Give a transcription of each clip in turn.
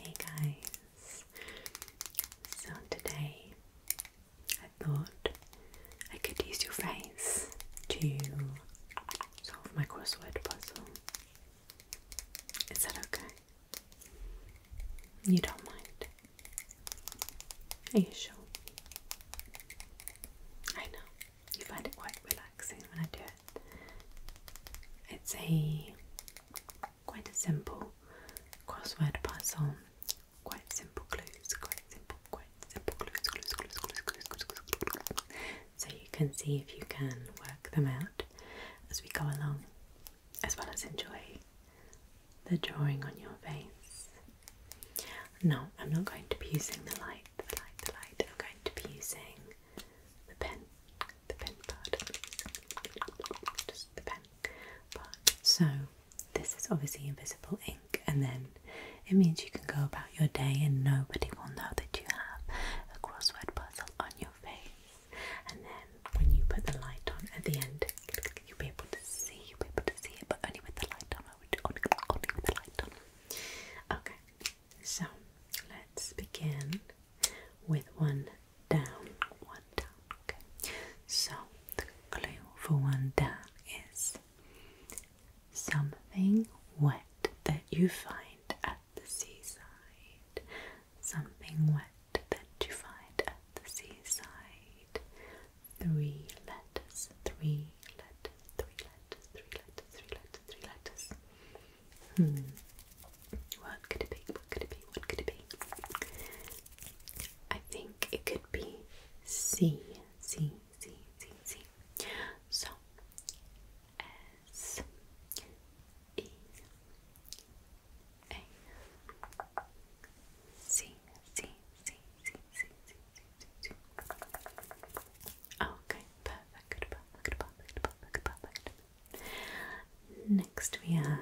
Hey guys, so today I thought I could use your face to solve my crossword puzzle. Is that okay? You don't mind? Are you sure? I know, you find it quite relaxing when I do it. It's a quite a simple crossword puzzle. Quite simple clues. Quite simple. Quite simple clues. So you can see if you can work them out as we go along, as well as enjoy the drawing on your face. No, I'm not going to be using the light. The light. The light. I'm going to be using the pen the pen part, Just the pen part. So, this is obviously invisible ink, and then it means you can go about your day and nobody will know that you have a crossword puzzle on your face. And then, when you put the light on at the end, you'll be able to see, you'll be able to see it, but only with the light on. only with the light on. Okay, so let's begin with one down, one down. Okay. So the clue for one down is something wet that you find at the seaside. Something wet that you find at the seaside. Three letters, three letters, three letters, three letters, three letters, three letters. Hmm. What could it be? What could it be? What could it be? I think it could be C. C. C. C. C. So S E A C C C C C C C C C Oh, okay, perfect, perfect, perfect, perfect, perfect. Next we have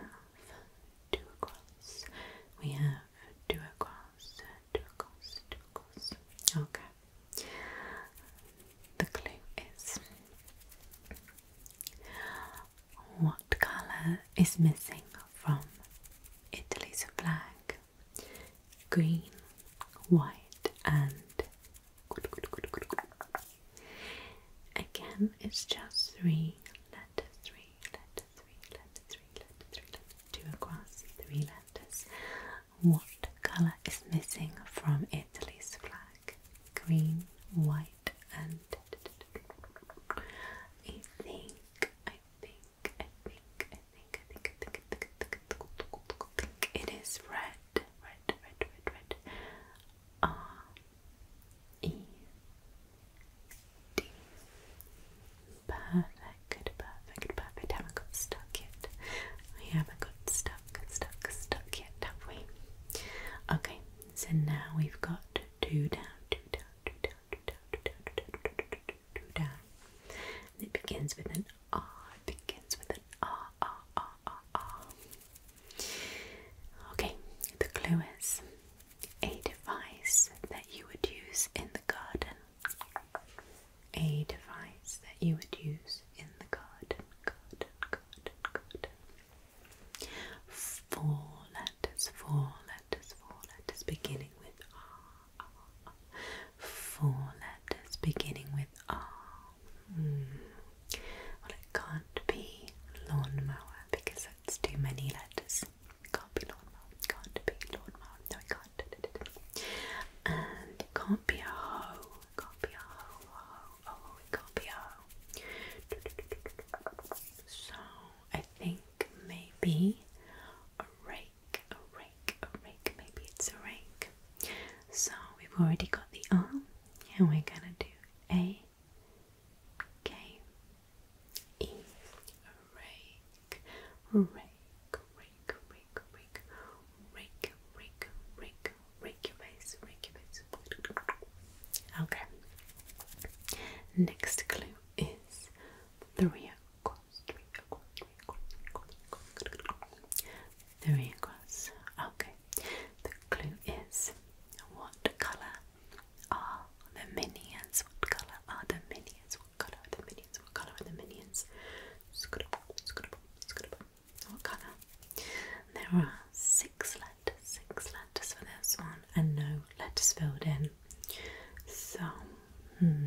two across. We have two across, two across, two across. Okay. The clue is what colour is missing from Italy's flag? green, white, and again it's just three letters, three letters, three letters, three letters, three letters, two across, three letters. What colour is missing from Italy's flag? Green, white, and I think, I think, I think, think, I think, I think, I think, I think, I think it is red, red, red, red, red. R E D. Perfect, perfect, perfect. Haven't got stuck yet. haven't got stuck, stuck, stuck yet, have we? Okay, so now we've got two down, two down, two down, two down, two down, two down, two down, two down, two down, do down. it begins with an R. Ah. It begins with an R, R, R, R, Okay, the clue is a device that you would use in the garden. A device that you would use in the garden. Four letters, four letters, four letters beginning with R. Four letters beginning with R. Hmm. Well, it can't be lawnmower because that's too many letters. Can't be lawnmower. Can't be lawnmower. No, it can't. And it can't be a hoe. can't be a hoe. can't be a hoe. So I think maybe a rake a rake, a rake. Maybe it's a rake. So we've already got the R, and we're gonna do A, K, E, a rake, rake, rake, rake, rake, rake, rake, rake, rake Okay. Next clue is three across, three across, three Okay. The clue is what colour are the minions? What colour are the minions? What colour are the minions? What colour are the minions? What colour? There are six letters, six letters for this one, and no letters filled in. So, hmm.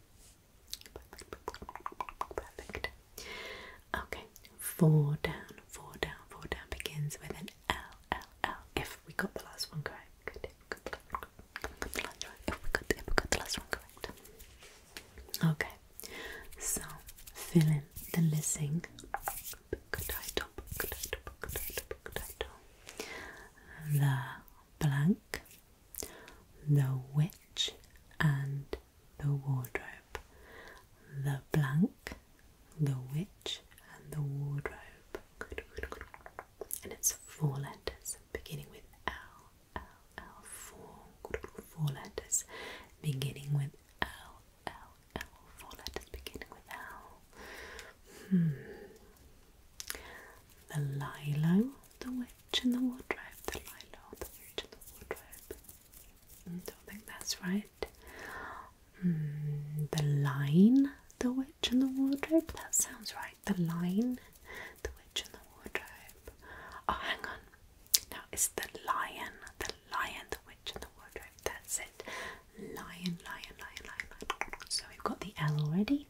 Perfect. Okay, four down, four down, four down begins with an L, L, L. If we got the last one correct, good. If we got the last one, correct. Okay, so fill in the missing book title. The blank. The Witch and the Wardrobe. The blank, The Witch and the Wardrobe. And it's four letters beginning with L, L, L, four, four letters beginning with L, L, L, four letters beginning with L. Hmm the Lilo, the witch in the wardrobe, the Lilo, the witch in the wardrobe. Mm, don't think that's right. Mm, the line, the witch in the wardrobe. That sounds right. The line, the witch in the wardrobe. Oh, hang on. Now it's the lion, the lion, the witch in the wardrobe. That's it. lion, lion, lion. lion. So we've got the L already.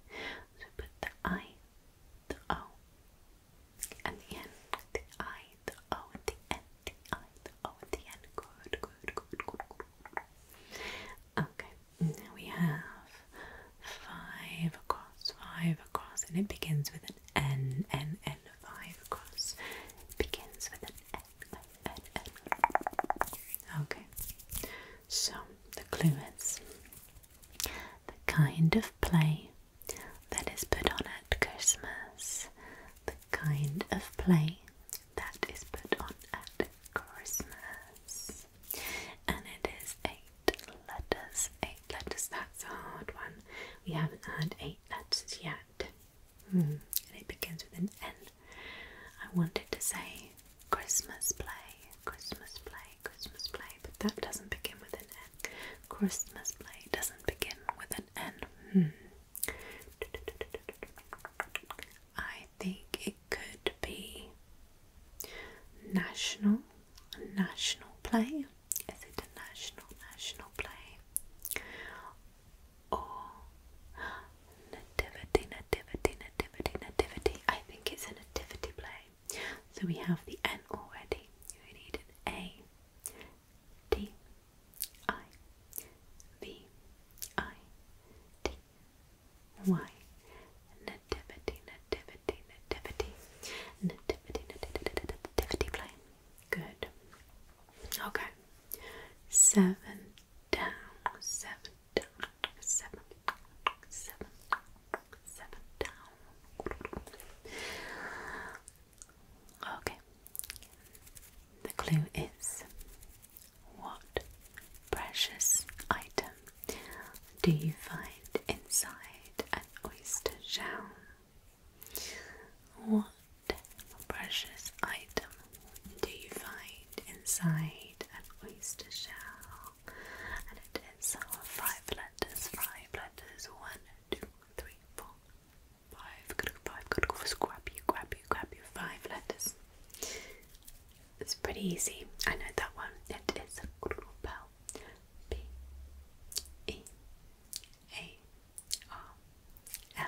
So put the I, the O, and the N, the I, the O, and the N, the I, the O, and the N. Good, good, good, good, good. Okay, we have five across, five across, and it begins with an N, N, N, five across. begins with an N, N, N. Okay, so the clue is the kind of play that is put on at Christmas. The kind of play that is put on at Christmas. And it is eight letters. Eight letters, that's a hard one. We haven't had eight letters yet. Hmm, and it begins with an N. I wanted to say Christmas play, Christmas play, Christmas play, but that doesn't begin with an N. Christmas play doesn't begin with an N. Hmm. I think it could be national, national play. Is it a national, national play? or nativity, nativity, nativity, nativity. I think it's a nativity play. So we have the N already. We need an A, D, I, V, I, D, Y. Nativity, nativity, nativity, nativity, nativity, nativity play. Good. Okay. Seven down, seven seven, seven, seven down. Okay. The clue is what precious item do you find inside an oyster shell? What precious item do you find inside an oyster shell? And it is five letters, five letters, one, two, three, four, five, good, five, good, go scrap you, grab you, grab you, five letters. It's pretty easy. I know that one. It is Grupel. B E A R L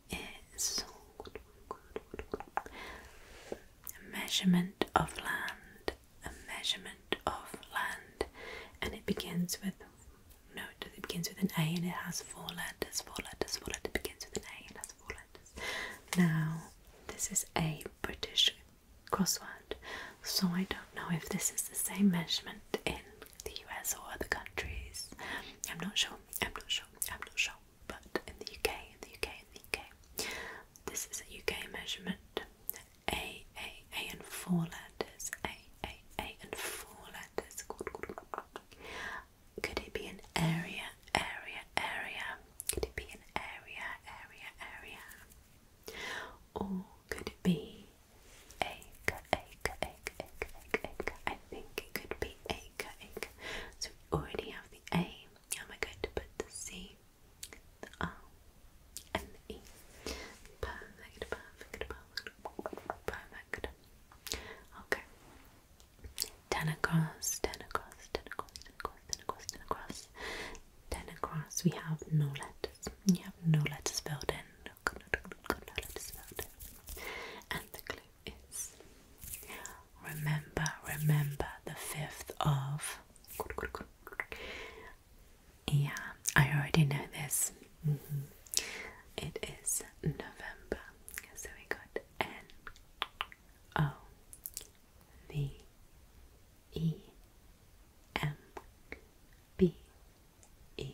is a measurement of land, a measurement of land, and it begins with no, it begins with an A and it has four letters, four letters, four letters. It begins with an A and has four letters. Now, this is a British crossword, so I don't know if this is the same measurement in the US or other countries. I'm not sure. I'm not sure, I'm not sure, but in the UK, in the UK, in the UK, this is a UK measurement. A, A, A and four letters, A, A, A and four letters. Could it be an area, area, area? Could it be an area, area, area? Or could it be egg, think it could be egg, egg. So we already have the A. How am I going to put the C, the R, and the E? Perfect, perfect, perfect, perfect. Okay. Ten across, ten across, ten across, ten across, ten across, ten across. Ten across, we have no letters. We have no letters filled in. And the clue is remember, remember the 5th of. Yeah, I already know this. Mm-hmm. It is November. So we got N O V E M B E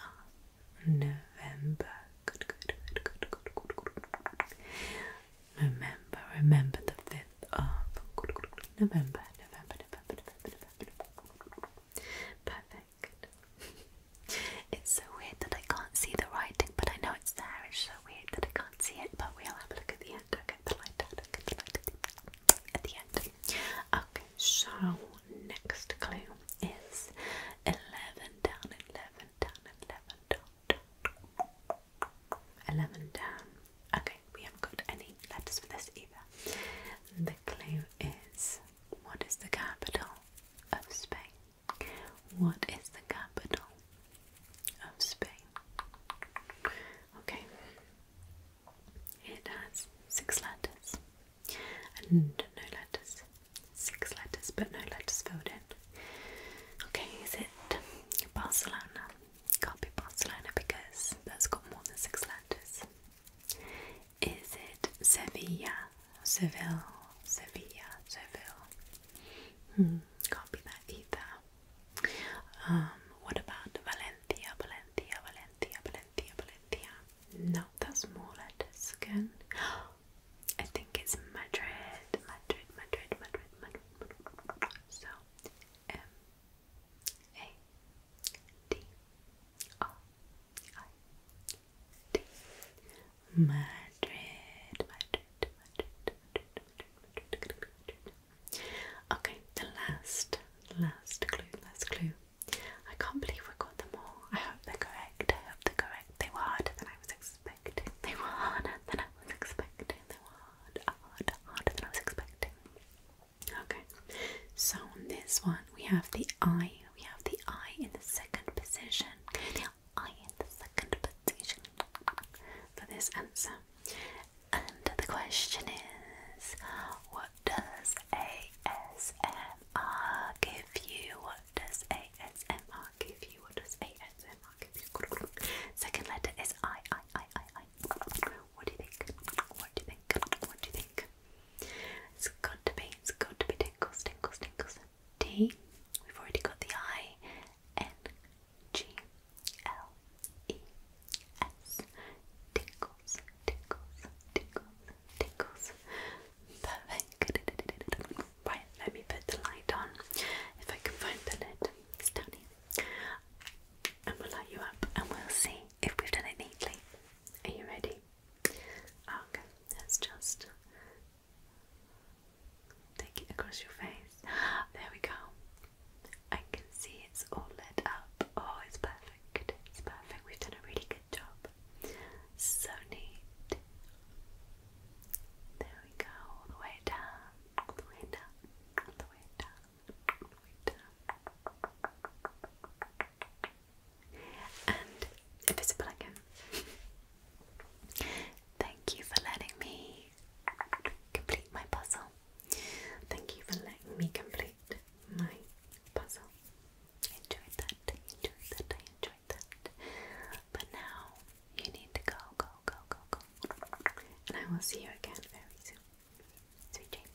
R November. Remember, remember the fifth of November, November, November, November, Perfect. it's so weird that I can't see the writing, but I know it's there. It's so weird that I can't see it, but we'll have a look at the end. Okay, the light, the light at the end. Okay, so next clue is 11 down, 11 down, 11 down, 11 down. Okay, we haven't got any letters for this either. The clue is what is the capital of Spain? What is the capital of Spain? Okay. It has six letters and no letters. Six letters, but no letters filled in. Okay, is it Barcelona? Can't be Barcelona because that's got more than six letters. Is it Sevilla? Seville, Sevilla, Seville. Hmm, can't be that either. Um, what about Valencia, Valencia, Valencia, Valencia, Valencia? No, that's more letters again. I think it's Madrid, Madrid, Madrid, Madrid, Madrid. So M A D R I D Madrid, Madrid, Madrid, Madrid, Madrid, Madrid, Madrid. Okay, the last, last clue, last clue. I can't believe we got them all. I hope they're correct. I hope they're correct. They were harder than I was expecting. They were harder than I was expecting. They were harder than I was expecting. Okay. So on this one we have the I. We have the I in the second position. I in the second position for this answer. And the question is, what does ASMR give you? What does ASMR give you? What does ASMR give you? Second letter is What do you think? What do you think? What do you think? It's got to be, it's got to be tingles, tingles, tingles. D, we've already got the I, N, G, L, E, S tickles, tickles, tickles, tickles. Perfect. Right, let me put the light on. If I can find the lid, it's And we'll light you up and we'll see if we've done it neatly. Are you ready? Ah, okay, let's just take it across your face. There we go. I can see it's all lit up. Oh, it's perfect. It's perfect. We've done a really good job. So neat. There we go. All the way down. the way All the way down. the way And if it's Thank you for letting me complete my puzzle. Thank you for letting me complete my puzzle. I enjoyed that. I enjoyed that. I enjoyed that. But now you need to go, go, go, go, go. And I will see you again very soon. Sweet dreams.